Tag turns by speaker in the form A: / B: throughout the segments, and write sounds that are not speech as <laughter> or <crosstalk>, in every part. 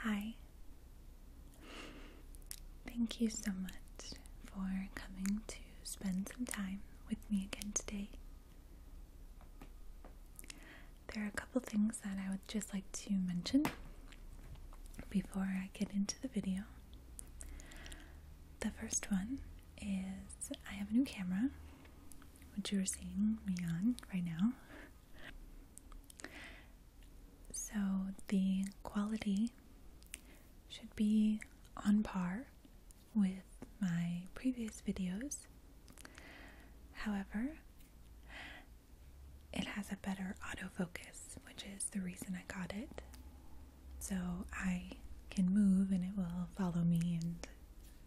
A: Hi. Thank you so much for coming to spend some time with me again today. There are a couple things that I would just like to mention before I get into the video. The first one is I have a new camera, which you are seeing me on right now. So the quality should be on par with my previous videos. However, it has a better autofocus, which is the reason I got it so I can move and it will follow me and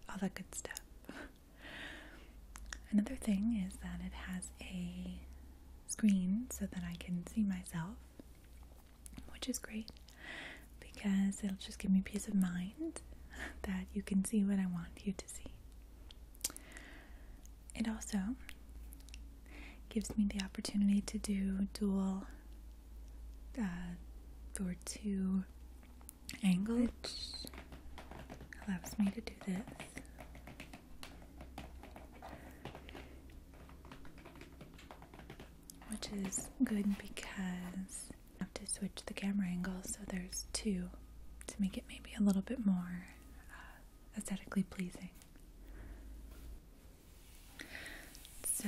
A: all that good stuff. Another thing is that it has a screen so that I can see myself, which is great because it'll just give me peace of mind <laughs> that you can see what I want you to see. It also gives me the opportunity to do dual uh, or two angles which allows me to do this. Which is good because I have to switch the camera angle so there's two to make it maybe a little bit more uh, aesthetically pleasing. So,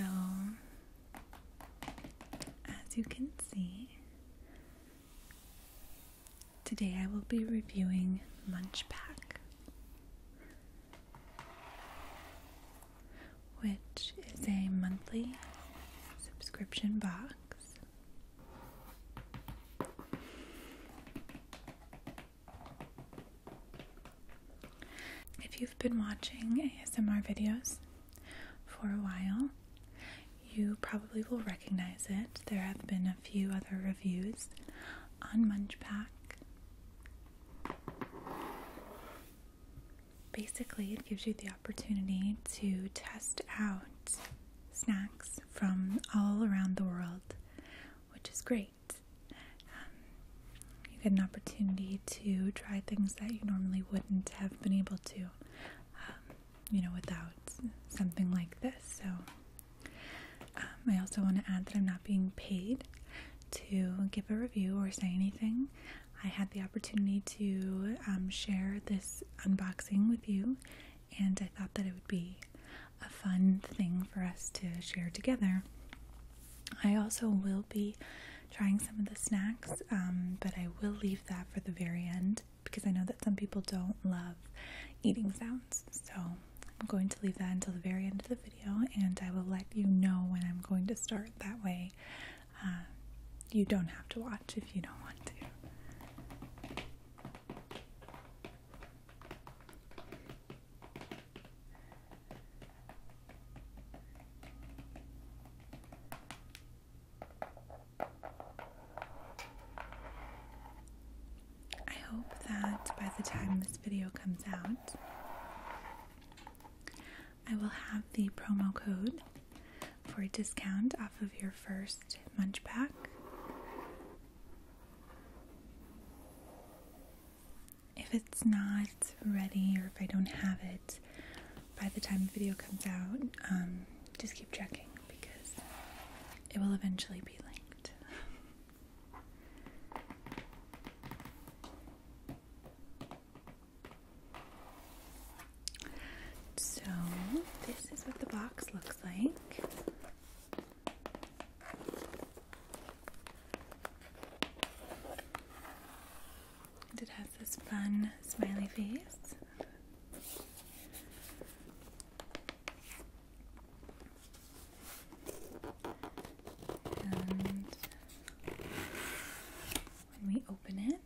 A: as you can see, today I will be reviewing Munchpack, which is a monthly subscription box. If you've been watching ASMR videos for a while, you probably will recognize it. There have been a few other reviews on Munchpack. Basically, it gives you the opportunity to test out snacks from all around the world, which is great. Um, you get an opportunity to try things that you normally wouldn't have been able to, um, you know, without something like this. So, um, I also want to add that I'm not being paid to give a review or say anything. I had the opportunity to share this unboxing with you, and I thought that it would be a fun thing for us to share together. I also will be trying some of the snacks, um, but I will leave that for the very end because I know that some people don't love eating sounds. So I'm going to leave that until the very end of the video and I will let you know when I'm going to start. That way, uh, you don't have to watch if you don't want to. I hope that by the time this video comes out, I will have the promo code for a discount off of your first munch pack if it's not ready or if I don't have it by the time the video comes out, um, just keep checking because it will eventually be linked. so, this is what the box looks like. And it has this fun smiley face. And when we open it,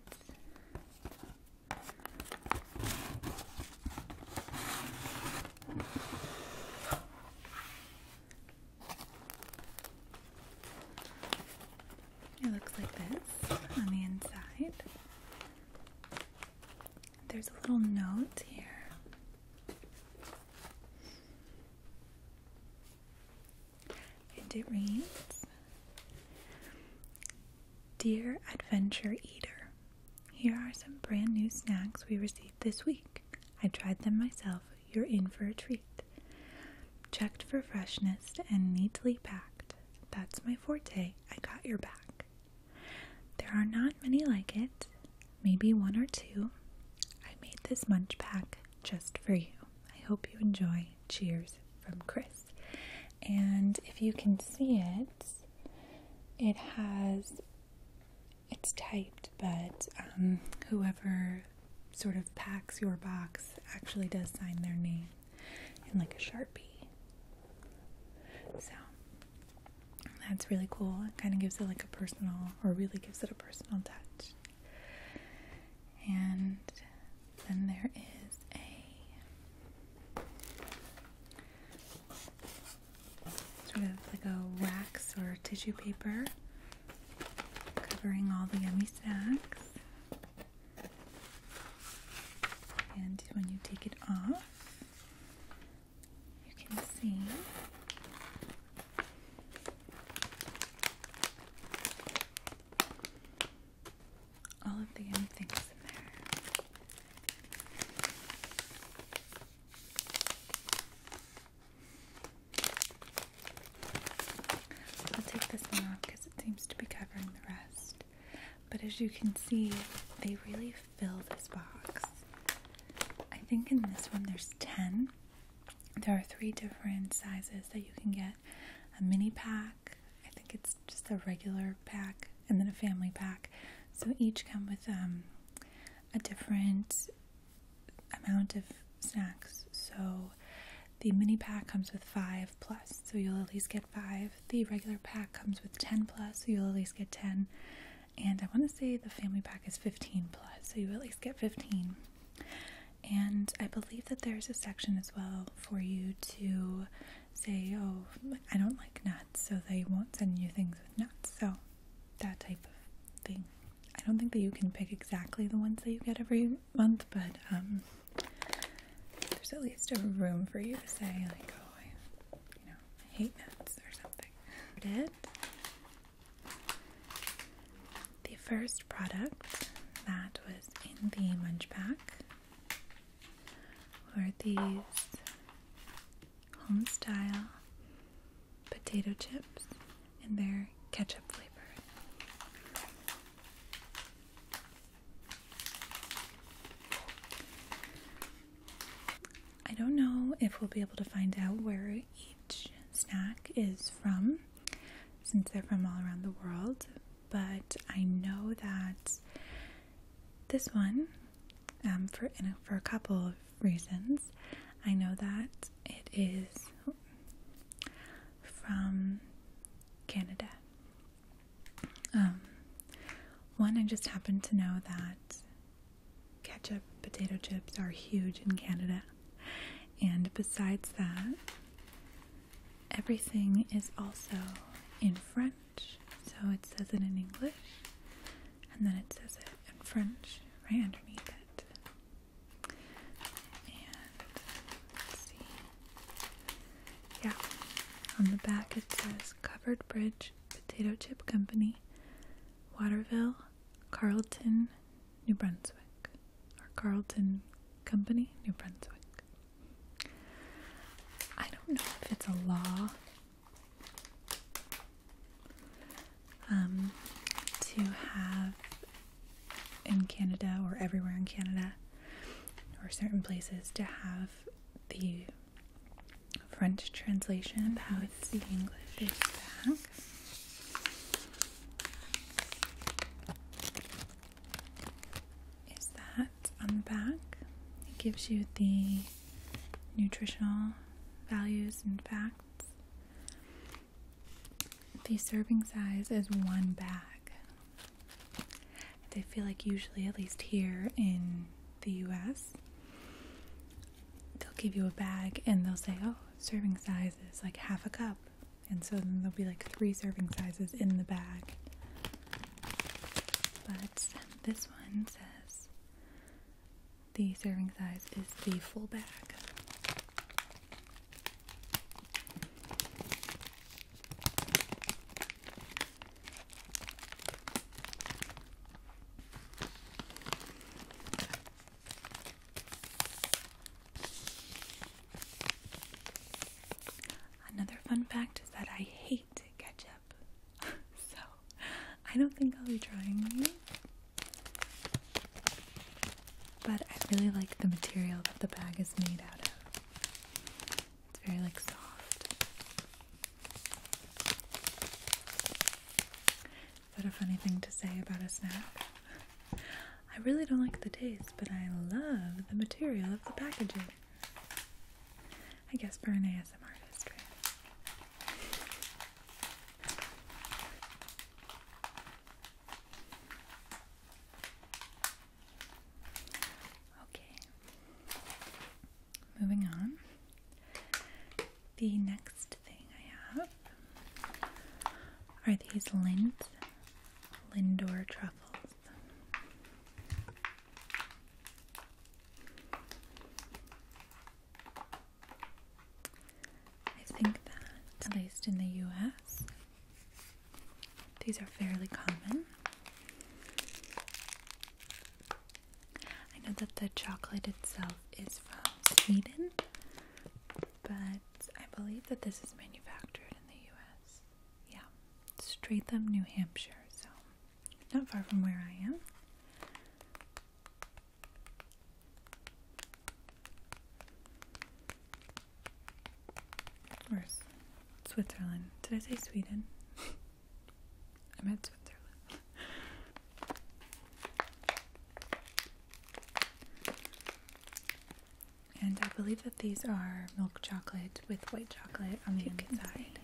A: it looks like this on the inside. There's a little note here. And it reads Dear Adventure Eater, here are some brand new snacks we received this week. I tried them myself you're in for a treat. Checked for freshness and neatly packed. That's my forte. I got your back. There are not many like it, maybe one or two. I made this munch pack just for you. I hope you enjoy. Cheers from Chris. And if you can see it, it has it's typed, but um, whoever sort of packs your box actually does sign their name in like a sharpie. So that's really cool. It kind of gives it like a personal, or really gives it a personal touch. And then there is a sort of like a wax or tissue paper covering all the yummy snacks. And when you take it off, you can see all of the yummy things in there. I'll take this one off because it seems to be covering the rest. But as you can see, they really fill this box. I think in this one there's 10. There are three different sizes that you can get a mini pack, I think it's just a regular pack, and then a family pack. So each come with um, a different amount of snacks. So the mini pack comes with five plus, so you'll at least get five. The regular pack comes with 10 plus, so you'll at least get 10. And I want to say the family pack is 15 plus, so you at least get 15. And I believe that there's a section as well for you to say, oh, I don't like nuts, so they won't send you things with nuts. So that type of thing. I don't think that you can pick exactly the ones that you get every month, but um, there's at least a room for you to say like, oh, I, you know, I hate nuts or something. It. The first product that was in the munch pack were these home style potato chips and their ketchup flavor. I don't know if we'll be able to find out where each snack is from since they're from all around the world, but I know that this one um, for, for a couple of reasons. I know that it is from Canada. Um, one, I just happen to know that ketchup potato chips are huge in Canada. And besides that, everything is also in French. So it says it in English, and then it says it in French right underneath it. And let's see. Yeah, on the back it says Covered Bridge Potato Chip Company, Waterville, Carlton, New Brunswick, or Carlton Company, New Brunswick. I don't know if it's a law um, to have in Canada or everywhere in Canada or certain places to have the French translation of how it's the English Is that on the back? It gives you the nutritional values and facts. The serving size is one bag. I feel like usually, at least here in the US, they'll give you a bag and they'll say, oh, serving size is like half a cup. And so then there'll be like three serving sizes in the bag. But this one says the serving size is the full bag. Another fun fact is that I hate ketchup. <laughs> so I don't think I'll be trying these, but I really like the material that the bag is made out of. It's very like soft. Is that a funny thing to say about a snack? I really don't like the taste, but I love the material of the packaging. I guess for an ASMR history. Okay, moving on. The next thing I have are these Lind Lindor truffles. I think that, at least in the US, these are fairly common. I know that the chocolate itself is from Sweden, but I believe that this is manufactured in the US. Yeah, Stratham, New Hampshire, so not far from where I am. Where's Switzerland? Did I say Sweden? <laughs> I meant Switzerland. and I believe that these are milk chocolate with white chocolate on the inside.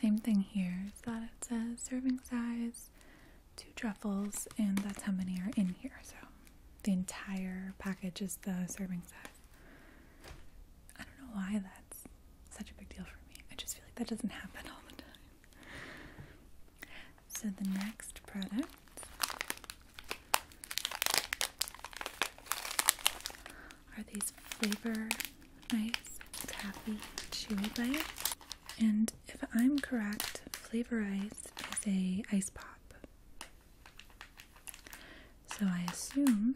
A: Same thing here is that it says serving size, two truffles, and that's how many are in here. So the entire package is the serving size. I don't know why that's such a big deal for me. I just feel like that doesn't happen all the time. So the next product are these flavor ice taffy chewy bites. And if I'm correct, flavor ice is a ice pop. So I assume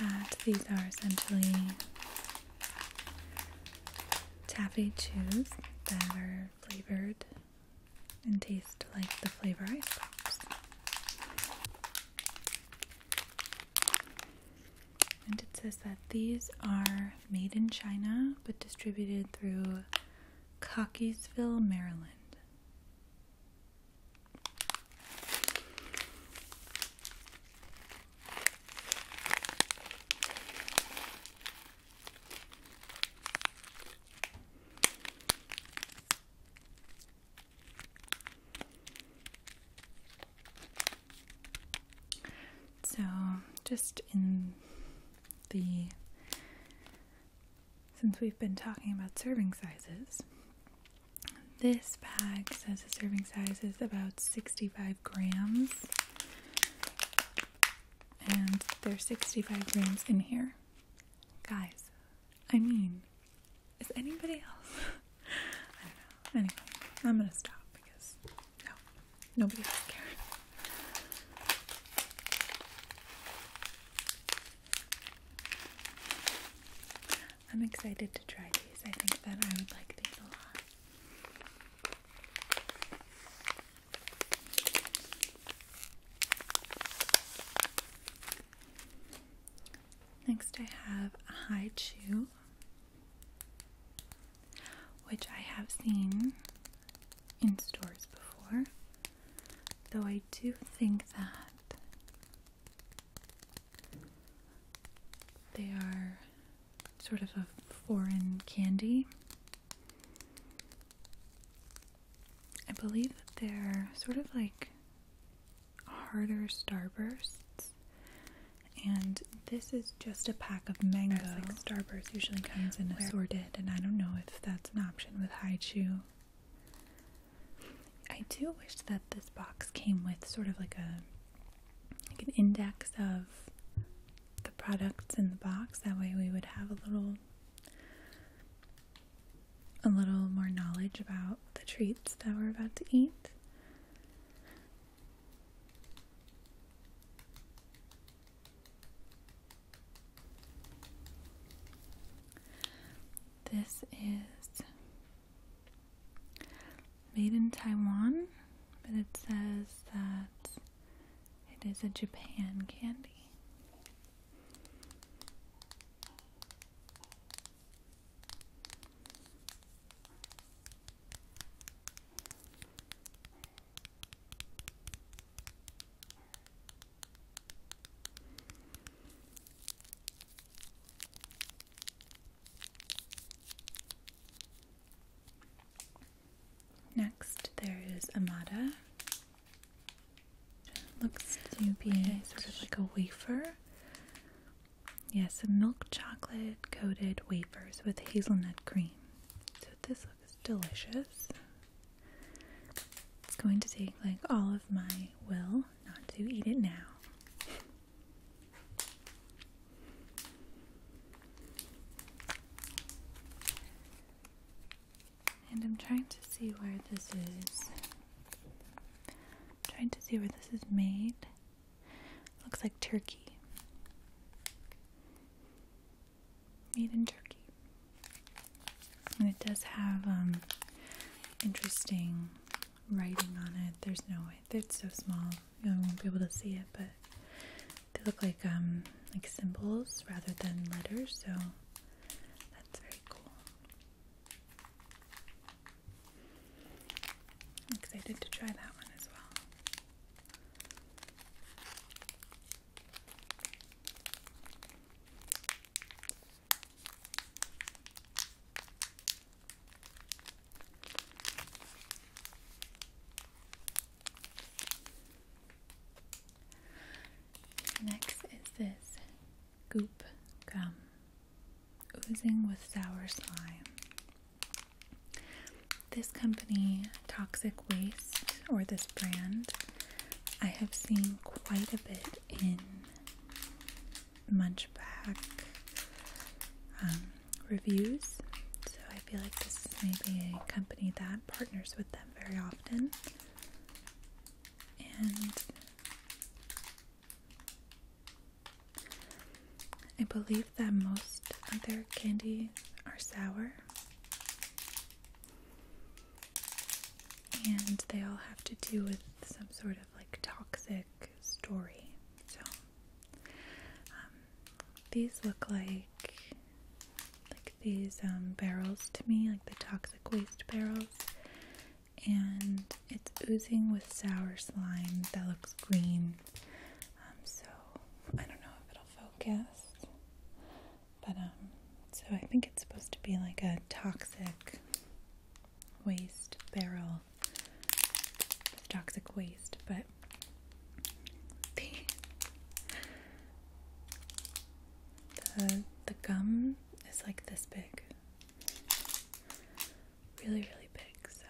A: that these are essentially taffy chews that are flavored and taste like the flavor ice pops. And it says that these are made in China but distributed through Cockeysville, Maryland. So, just in the since we've been talking about serving sizes, this bag says the serving size is about 65 grams. And there's 65 grams in here. Guys, I mean, is anybody else? <laughs> I don't know. Anyway, I'm gonna stop because no, nobody else cares. I'm excited to try these. I think that I would like these a lot. Next, I have a high chew, which I have seen in stores before, though I do think that they are sort of a foreign candy. I believe that they're sort of like harder starbursts. And this is just a pack of mango. As Starburst usually comes in assorted, and I don't know if that's an option with Haichu I do wish that this box came with sort of like a like an index of the products in the box. That way we would have a little a little more knowledge about the treats that we're about to eat. This is made in Taiwan, but it says that it is a Japan candy. Next, there is Amada. Looks to be like a wafer. Yes, a milk chocolate coated wafers with hazelnut cream. So this looks delicious. It's going to take like all of my will not to eat it now. And I'm trying to see where this is. trying to see where this is made. looks like Turkey. Made in Turkey. And it does have um, interesting writing on it. There's no way it's so small you I won't be able to see it, but they look like um, like symbols rather than letters, so that's very cool. excited to try that one as well. Next is this goop gum, oozing with sour slime. This company, Toxic Waste, or this brand, I have seen quite a bit in Munchback um, reviews, so I feel like this is maybe a company that partners with them very often. And I believe that most of their candies are sour and they all have to do with some sort of like toxic story. So um, these look like like these um, barrels to me, like the toxic waste barrels, and it's oozing with sour slime that looks green. Um, so I don't know if it'll focus. But, um, so I think it's supposed to be like a toxic waste barrel with toxic waste, but <laughs> the, the gum is like this big. Really, really big, so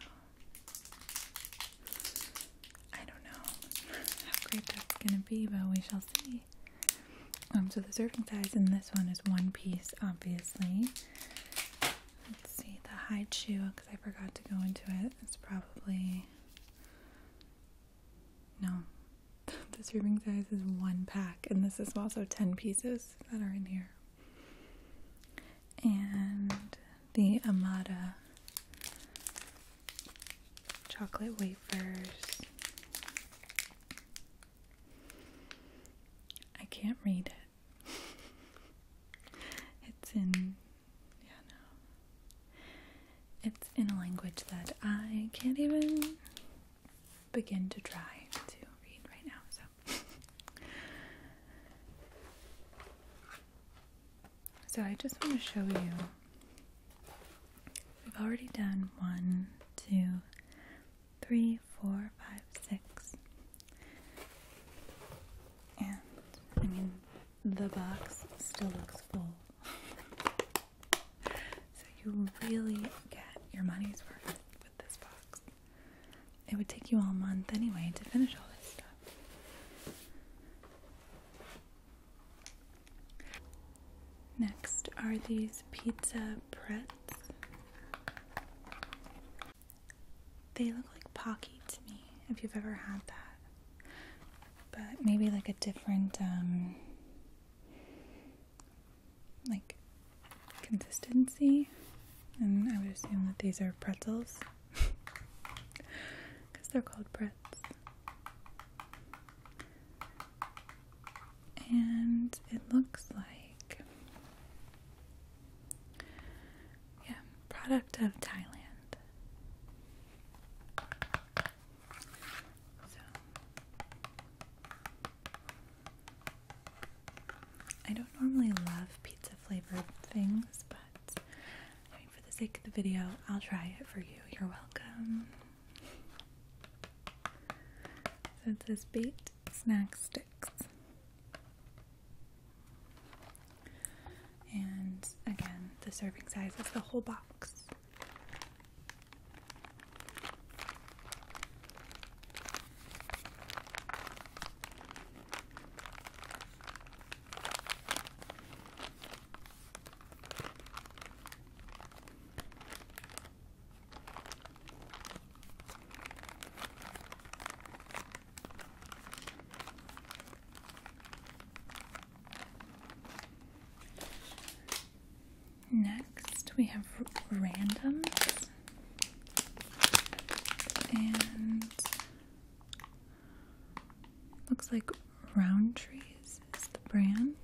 A: I don't know <laughs> how great that's gonna be, but we shall see. Um, so the serving size in this one is one piece, obviously. Let's see the hide chew because I forgot to go into it. It's probably no. <laughs> the serving size is one pack, and this is also ten pieces that are in here. And the Amada chocolate wafers. I can't read it. <laughs> it's in yeah no. It's in a language that I can't even begin to try to read right now, so <laughs> So I just want to show you We've already done one, two, three, four, five, six. And I mean, the box still looks full. <laughs> so you really get your money's worth with this box. It would take you all month anyway to finish all this stuff. Next are these pizza pretz. They look like Pocky to me, if you've ever had that. But maybe like a different, um, like consistency. And I would assume that these are pretzels because <laughs> they're called pretz. And it looks like, yeah, product of Thailand. So, I don't normally love pizza flavored things, but for the sake of the video, I'll try it for you. You're welcome. So it says baked snack sticks. And again, the serving size is the whole box. Next, we have randoms and looks like round trees is the brand.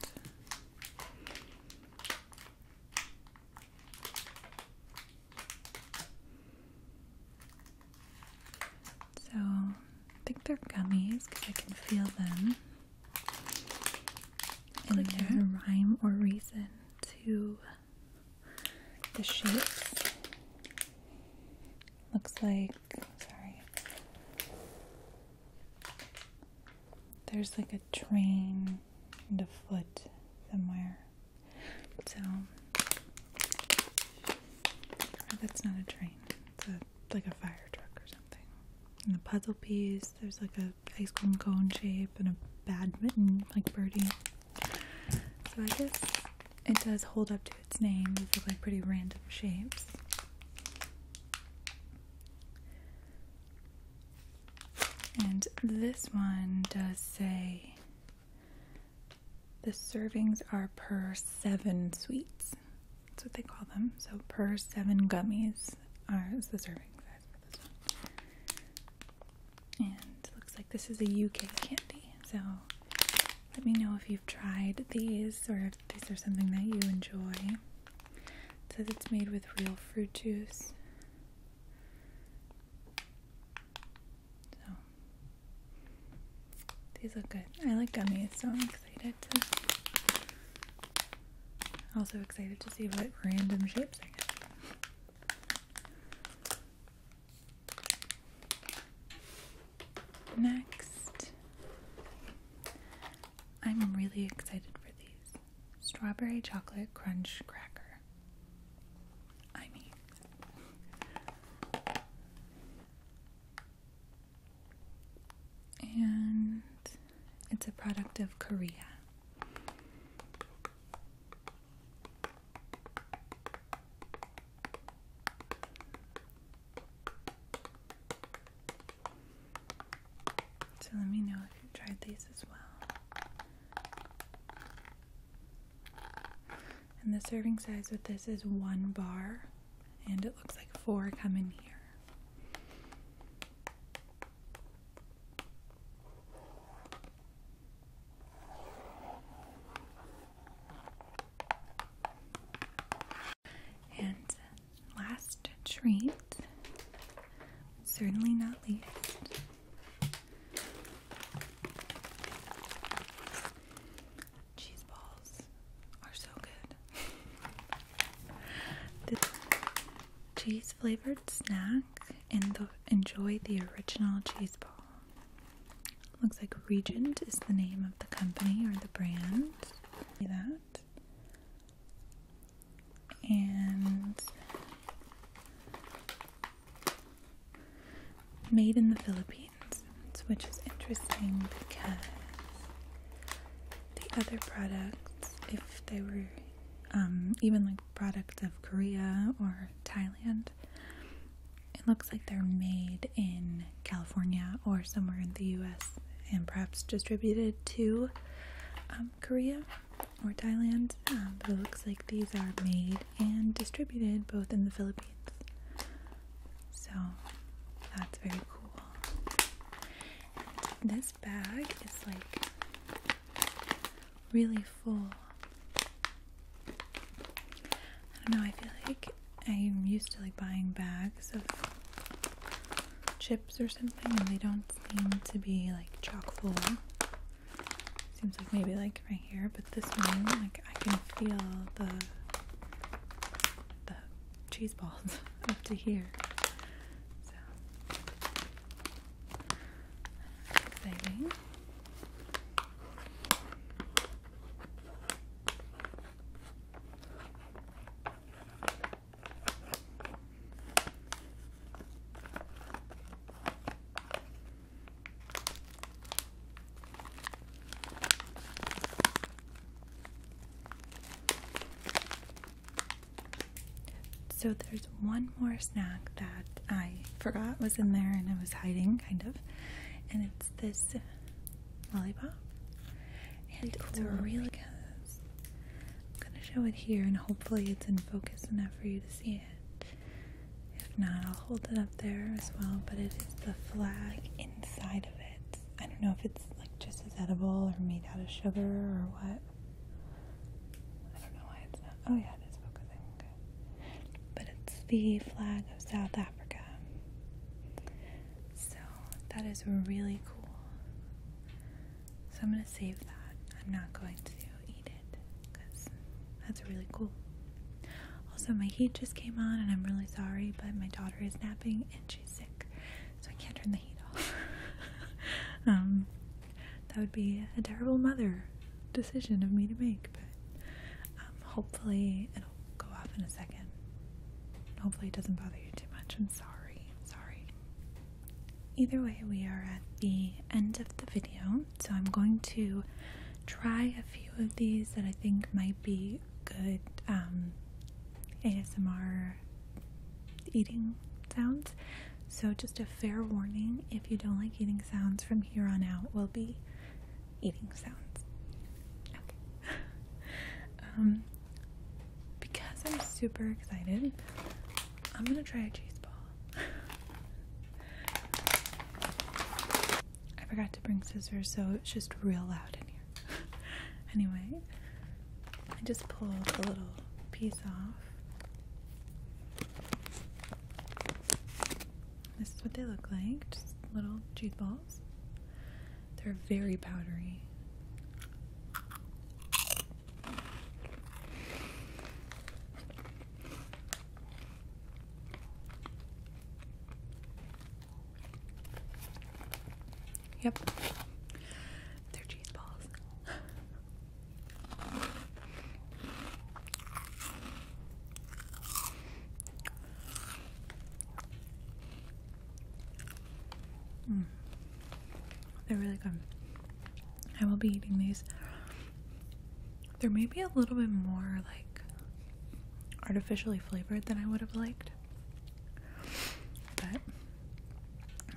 A: So I think they're gummies because I can feel them. And like there's a rhyme or reason to the shapes. Looks like, sorry, there's like a train and a foot somewhere. So that's not a train. It's like a fire truck or something. And the puzzle piece, there's like a ice cream cone shape and a bad mitten, like birdie. So I guess it does hold up to its name. These look like pretty random shapes. And this one does say the servings are per seven sweets. That's what they call them. So per seven gummies are is the serving size this one. And looks like this is a UK candy. So let me know if you tried these or if these are something that you enjoy. says it's made with real fruit juice. So these look good. I like gummies, so I'm excited to also excited to see what random shapes I get. Next, I'm really excited for these. Strawberry chocolate crunch cracker. I mean. And it's a product of Korea. So let me know if you tried these as well. And the serving size with this is one bar, and it looks like four come in here. And uh, last treat, certainly not least, cheese balls are so good. This cheese flavored snack and enjoy the original cheese ball. Looks like Regent is the name of the company or the brand. See that? And made in the Philippines, which is interesting because the other products, if they were um, even like products of Korea or Thailand, it looks like they're made in California or somewhere in the US and perhaps distributed to um, Korea or Thailand. Um, but it looks like these are made and distributed both in the Philippines. So that's very cool. this bag is like really full. I don't know, I feel like I'm used to like buying bags of chips or something and they don't seem to be like chock full. Seems like maybe like right here, but this one like I can feel the the cheese balls <laughs> up to here. So exciting. So there's one more snack that I forgot was in there and I was hiding kind of and it's this lollipop. And it's really good. I'm gonna show it here and hopefully it's in focus enough for you to see it. If not, I'll hold it up there as well, but it is the flag inside of it. I don't know if it's like just as edible or made out of sugar or what. I don't know why it's not. Oh yeah, it is focusing. Okay. But it's the flag of South Africa. So that is really cool. So I'm going to save that. I'm not going to eat it because that's really cool. Also, my heat just came on and I'm really sorry, but my daughter is napping and she's sick. So I can't turn the heat off. <laughs> um, that would be a terrible mother decision of me to make, but um, hopefully go off in a second. Hopefully, it doesn't bother you too much. I'm sorry. I'm sorry. Either way, we are at the end of the video, so I'm going to try a few of these that I think might be good um, ASMR eating sounds. So, just a fair warning if you don't like eating sounds from here on out, will be eating sounds. Okay. <laughs> um, because I'm super excited, I'm gonna try a cheese ball. <laughs> I forgot to bring scissors, so it's just real loud in here. <laughs> anyway, I just pulled a little piece off. This is what they look like, just little cheese balls. They're very powdery. Yep. They're cheese balls. Mm. They're really good. I will be eating these. There may be a little bit more like artificially flavored than I would have liked, but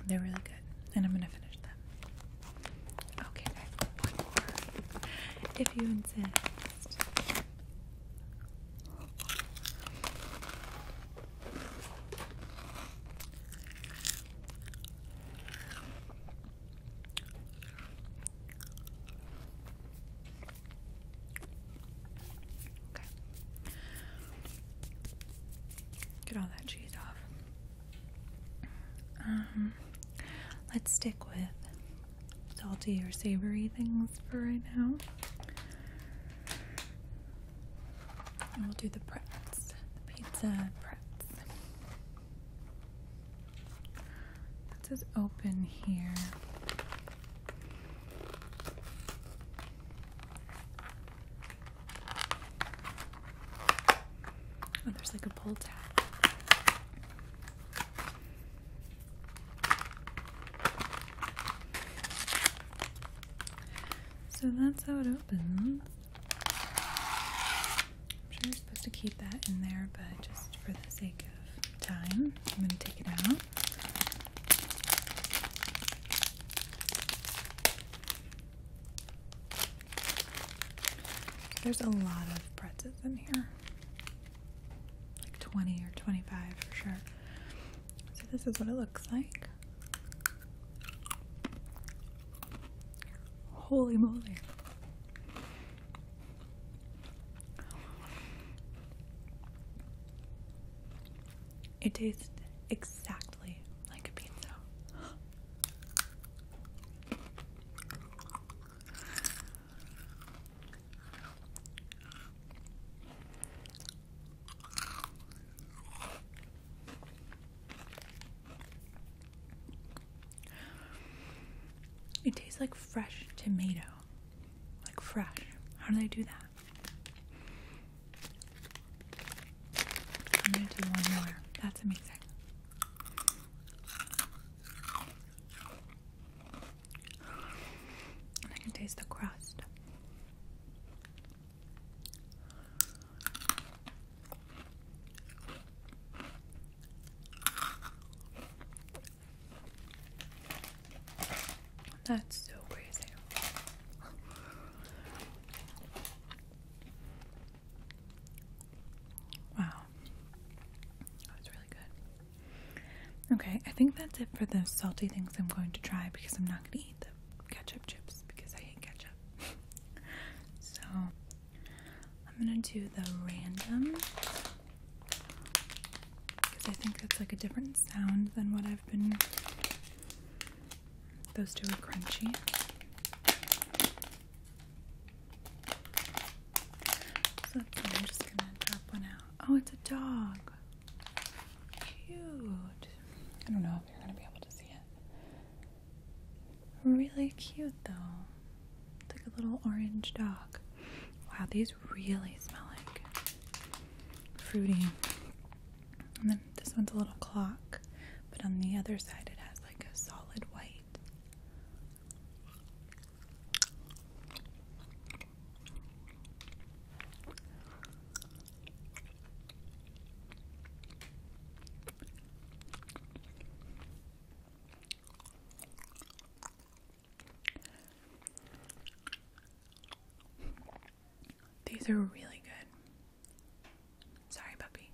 A: they're really good. And I'm gonna finish them. Okay, one more. If you insist. Get all that cheese off. Um, let's stick with salty or savory things for right now. we'll do the pretz, the pizza pretz. It says open here. Oh, there's like a pull tab. So that's how it opens. I'm sure you're supposed to keep that in there, but just for the sake of time, I'm going to take it out. There's a lot of pretzels in here like 20 or 25 for sure. So, this is what it looks like. Holy moly! It tastes exactly like a pizza. It tastes like fresh tomato. Like fresh. How do they do that? I'm gonna do one more. That's amazing. I can taste the crust. That's so crazy. Wow. That was really good. Okay, I think that's it for the salty things I'm going to try because I'm not going to eat the ketchup chips because I hate ketchup. <laughs> so, I'm going to do the random because I think that's like a different sound than what I've been. Those two are crunchy. So I'm just gonna drop one out. Oh, it's a dog. Cute. I don't know if you're gonna be able to see it. Really cute though. It's like a little orange dog. Wow, these really smell like fruity. And then this one's a little clock, but on the other side it has like a solid white. These are really good. Sorry, puppy.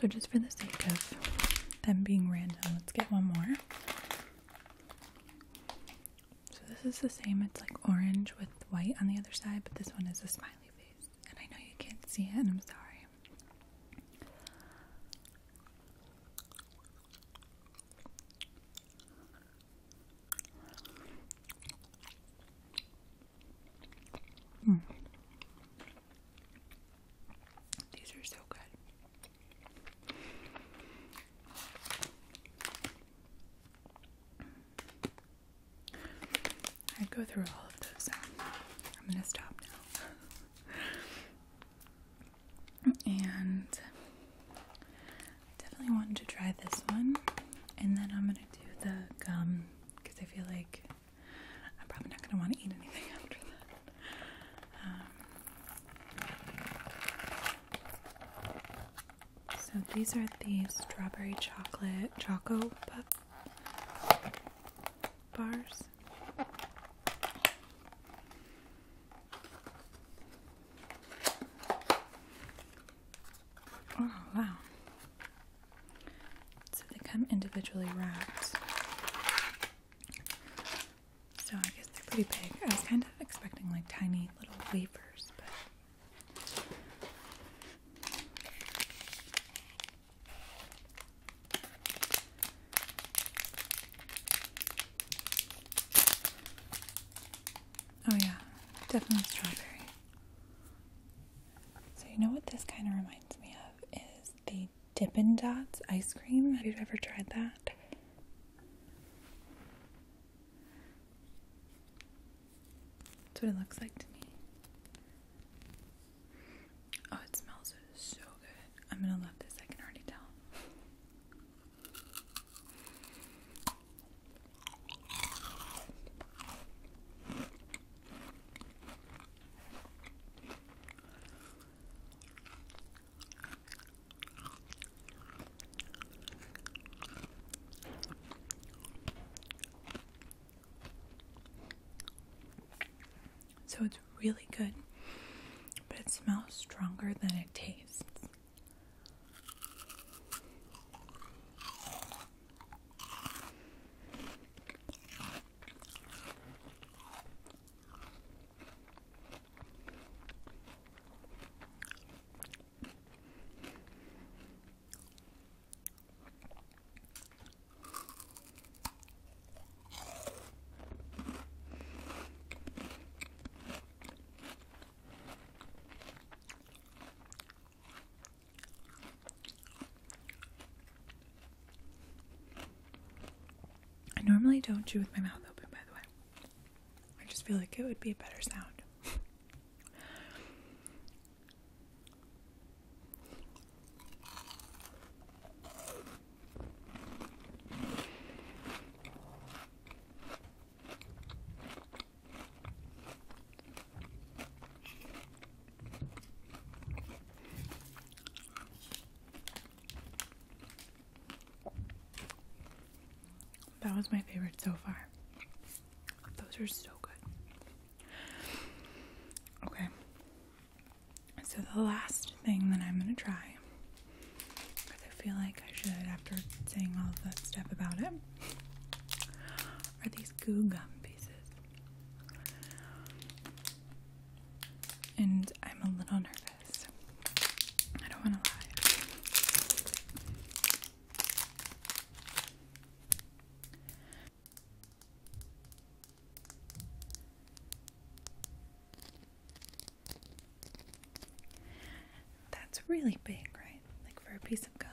A: So, just for the sake of them being random, let's get one more. So, this is the same, it's like orange with white on the other side, but this one is a smiley face. And I know you can't see it, and I'm sorry. These are so good. I go through all of those. I'm gonna stop now. <laughs> and definitely wanted to try this one. And then I'm gonna do the gum because I feel like I'm probably not gonna want to eat anything <laughs> after that. Um, so these are the strawberry chocolate choco bars. Oh, wow. So they come individually wrapped. So I guess they're pretty big. I was kind of expecting like tiny little wafers, but Oh, yeah, definitely strawberry. So, you know what this kind of reminds me of is the Dippin' Dots ice cream. Have you ever tried that? That's what it looks like to me. Oh, it smells so good. I'm gonna love this, I can already tell. So it's really good, but it smells stronger than it tastes. I normally don't chew with my mouth open, by the way. I just feel like it would be a better sound. <laughs> That was my favorite so far. Those are so good. Okay. So, the last thing that I'm going to try, because I feel like I should after saying all of that stuff about it, are these goo gum pieces. And I'm a little nervous. I don't want to lie. That's really big, right? Like for a piece of gum.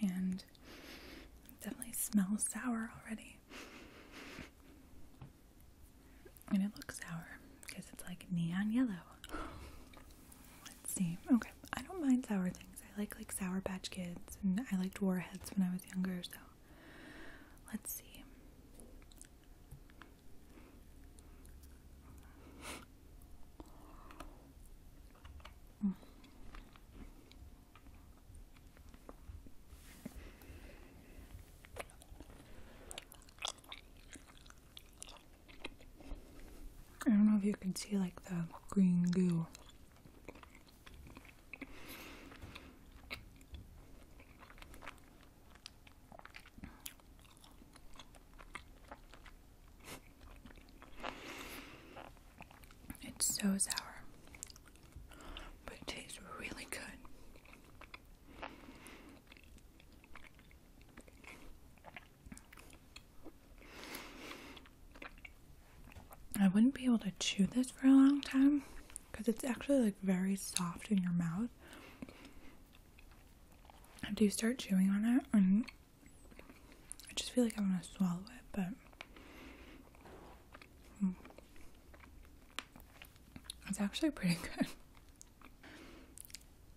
A: And definitely smells sour already. And it looks sour because it's like neon yellow. Let's see. Okay. I don't mind sour things. I like like Sour Patch Kids, and I liked Warheads when I was younger. So let's see. I don't know if you can see like the green goo it's so sour, but it tastes really good. I wouldn't be able to chew this for a long time because it's actually like very soft in your mouth. After you start chewing on it, I just feel like I want to swallow it, but it's actually pretty <laughs> good.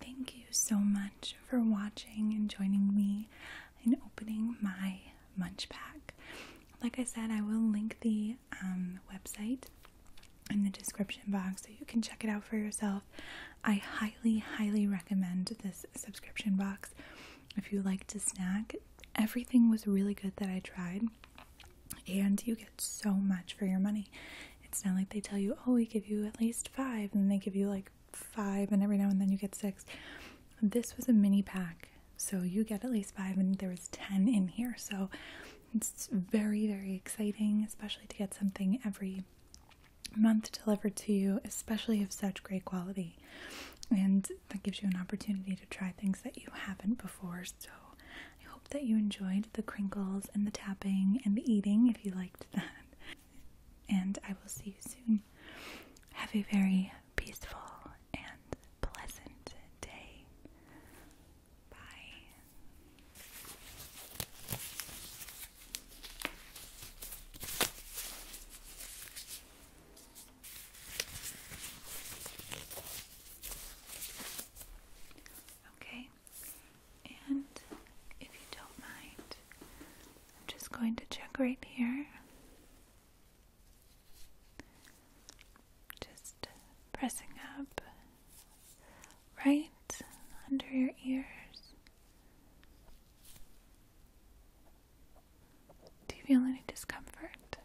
A: Thank you so much for watching and joining me in opening my munch pack. Like I said, I will link the um, website in the description box so you can check it out for yourself. I highly, highly recommend this subscription box if you like to snack. Everything was really good that I tried, and you get so much for your money. It's not like they tell you, oh, we give you at least five, and they give you like five, and every now and then you get six. This was a mini pack, so you get at least five, and there was 10 in here. So it's very, very exciting, especially to get something every month delivered to you, especially of such great quality. And that gives you an opportunity to try things that you haven't before. So I hope that you enjoyed the crinkles and the tapping and the eating if you liked that and I will see you soon. Have a very peaceful and pleasant day. Bye. Okay, and if you don't mind, I'm just going to check right here. Just pressing up right under your ears. Do you feel any discomfort?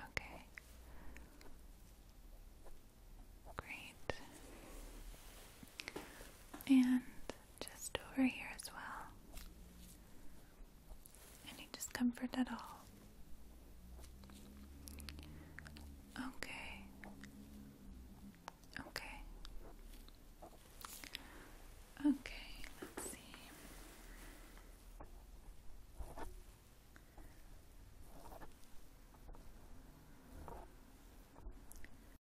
A: Okay. Great. And just over here as well. Any discomfort at all? Okay. Okay. Okay, let's see.